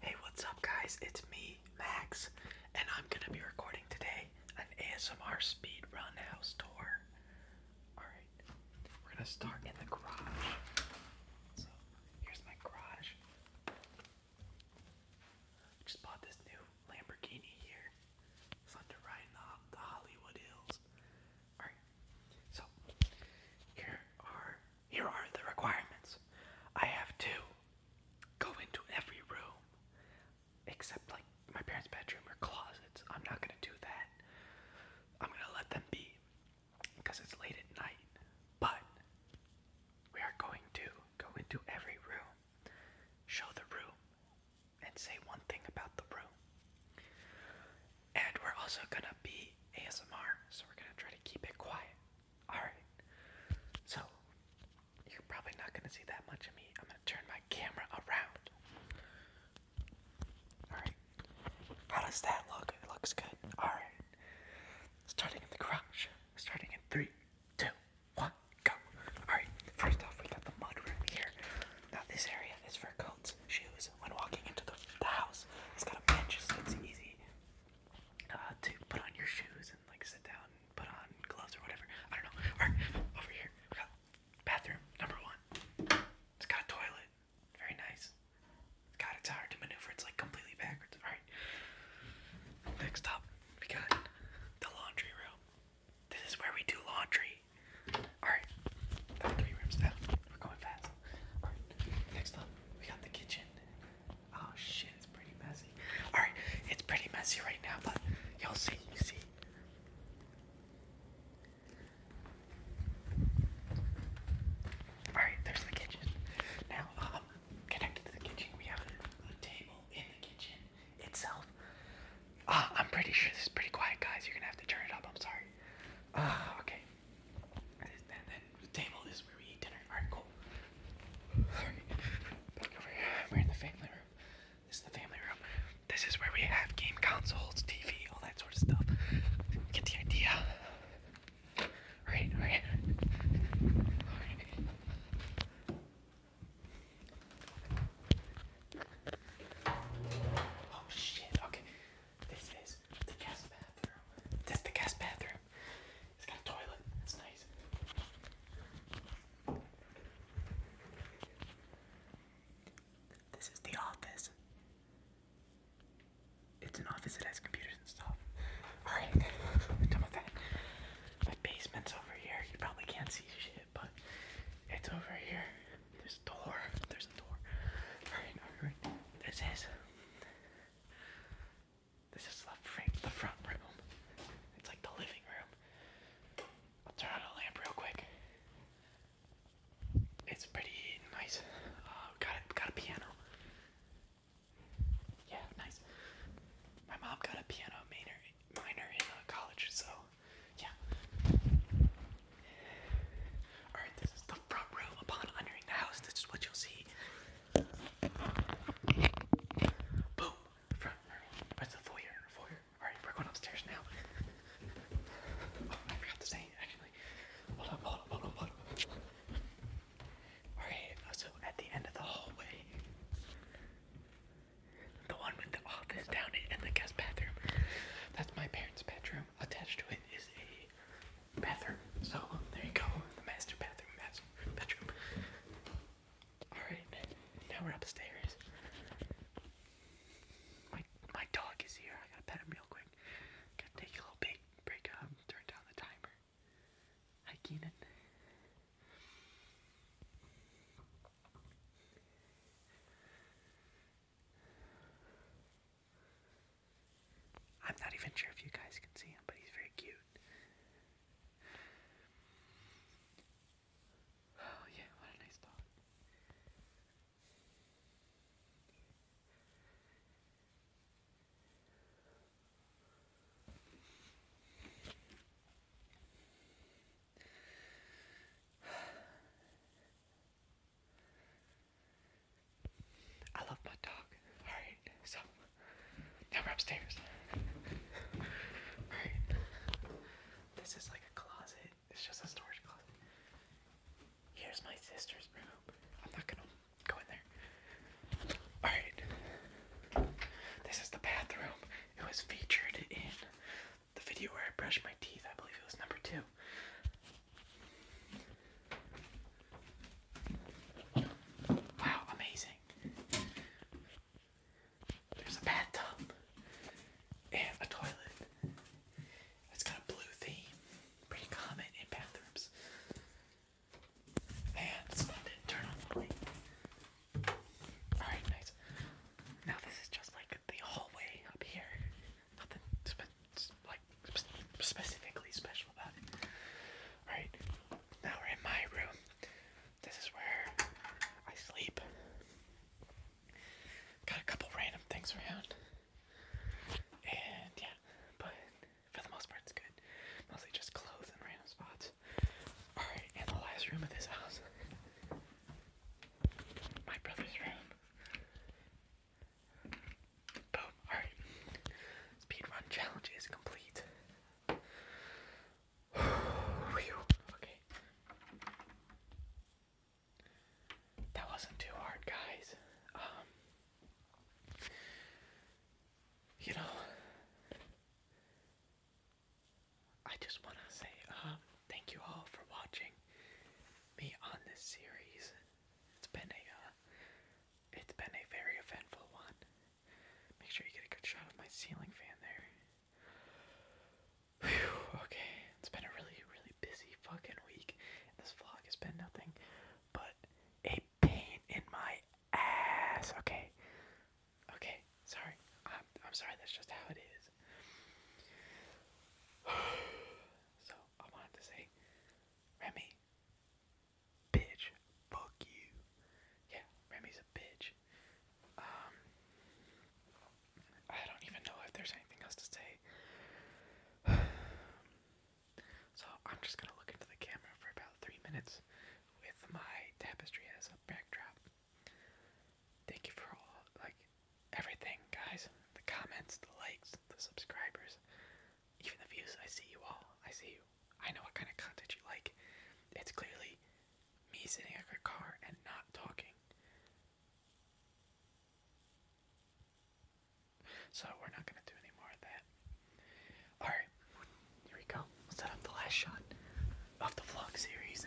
Hey, what's up, guys? It's me, Max, and I'm gonna be recording today an ASMR speed run house tour. Alright, we're gonna start in the garage. So, here's my garage. just bought this new Lamborghini here. Thunder riding the, uh, the Hollywood Hills. Alright, so here are here are the requirements. I have to go into every room except like my parents' bedroom or closets. I'm not gonna do that. I'm gonna let them be because it's late at night. But we are going to go into every room, show the room, and say one thing about the room. And we're also gonna be ASMR, so we're gonna try to keep it quiet. Alright. So, you're probably not gonna see that much of me. I'm gonna turn my camera around. Alright. How does that look? It looks good. Alright. Starting in the garage. Starting in three, two, one, go. Alright, first off, we got the mud here. Now, this area is for coats, shoes, benches when walking into the, the house. It's got a bench, so it's easy uh, to put on your shoes and like sit down and put on gloves or whatever. I don't know. Or over here, we got bathroom number one. It's got a toilet, very nice. God, it's hard to maneuver. It's like completely backwards. All right. Next up, we got the laundry room. This is where we do laundry. Alright, got three rooms down. We're going fast. Alright, next up, we got the kitchen. Oh shit, it's pretty messy. Alright, it's pretty messy right now, but you'll see, you see. Alright, there's the kitchen. Now, um, to the kitchen, we have a, table in the kitchen itself. Ah, I'm pretty sure this is pretty quiet, guys. You're gonna have to turn it up. I'm sorry. Ah, okay. And then the table is where we eat dinner. Alright, cool. Back over here. We're in the family room. This is the family room. This is where we have game consoles, TV, all that sort of stuff. Get the idea. Alright, alright. Alright. Oh shit, okay. This is the guest bathroom. That's the guest bathroom. It's got a toilet. That's nice. This is the office. It's an office that has computers and stuff. Alright, done with that. My basement's over here. You probably can't see shit, but it's over here. There's a door. There's a door. Alright, alright. This is. This is the, frame, the front room. It's like the living room. I'll turn on a lamp real quick. It's pretty nice. Uh, got Got a piano. Yeah, nice. My mom got a piano made minor in uh, college, so yeah. Alright, this is the front row upon entering the house. This is what you'll see. Boom! Front row. That's the foyer. Foyer. Alright, we're going upstairs now. oh, I forgot to say, actually. Hold up, hold up, hold up, hold up. Alright, so at the end of the hallway, the one with the office down it and the guest bathroom. That's my parents' bedroom. Attached to it is a bathroom. So there you go, the master bathroom, master bedroom. Alright, now we're upstairs. My my dog is here. I gotta pet him real quick. Gotta take a little big break up, uh, turn down the timer. Hi Keenan. I'm not even sure if you guys can see him, but he's very cute. Oh, yeah, what a nice dog. I love my dog. Alright, so now we're upstairs. Alright. This is like a closet. It's just a storage closet. Here's my sister's room. I'm not gonna go in there. Alright. This is the bathroom. It was featured in the video where I brushed my teeth. I believe it was number two. Wow, amazing. There's a bathtub and a toilet. It's got a blue theme. Pretty common in bathrooms. Alright, nice. Now this is just like the hallway up here. Nothing like specifically special about it. Alright, now we're in my room. This is where I sleep. Got a couple random things around. And yeah, but for the most part, it's good. Mostly just clothes in random spots. Alright, in the last room of this house, my brother's room. Boom, alright. Speedrun challenge is complete. okay. That wasn't too hard, guys. Um, you know, I just want to say um, thank you all for watching me on this series. It's been a uh, it's been a very eventful one. Make sure you get a good shot of my ceiling fan there. okay, it's been a really, really busy fucking week. This vlog has been nothing but a pain in my ass. Okay. Okay. Sorry. I'm, I'm sorry. That's just how it is. so, I wanted to say, Remy, bitch, fuck you. Yeah, Remy's a bitch. Um, I don't even know if there's anything else to say. Um, so I'm just gonna look into the camera for about three minutes with my tapestry as a backdrop. Thank you for all like everything, guys. The comments, the likes, the subscribers, even the views. I see you all. I see you. I know what kind of content you like. It's clearly me sitting in a car and not talking. So we're not gonna do any more of that. Alright, here we go. set up the last shot of the vlog series.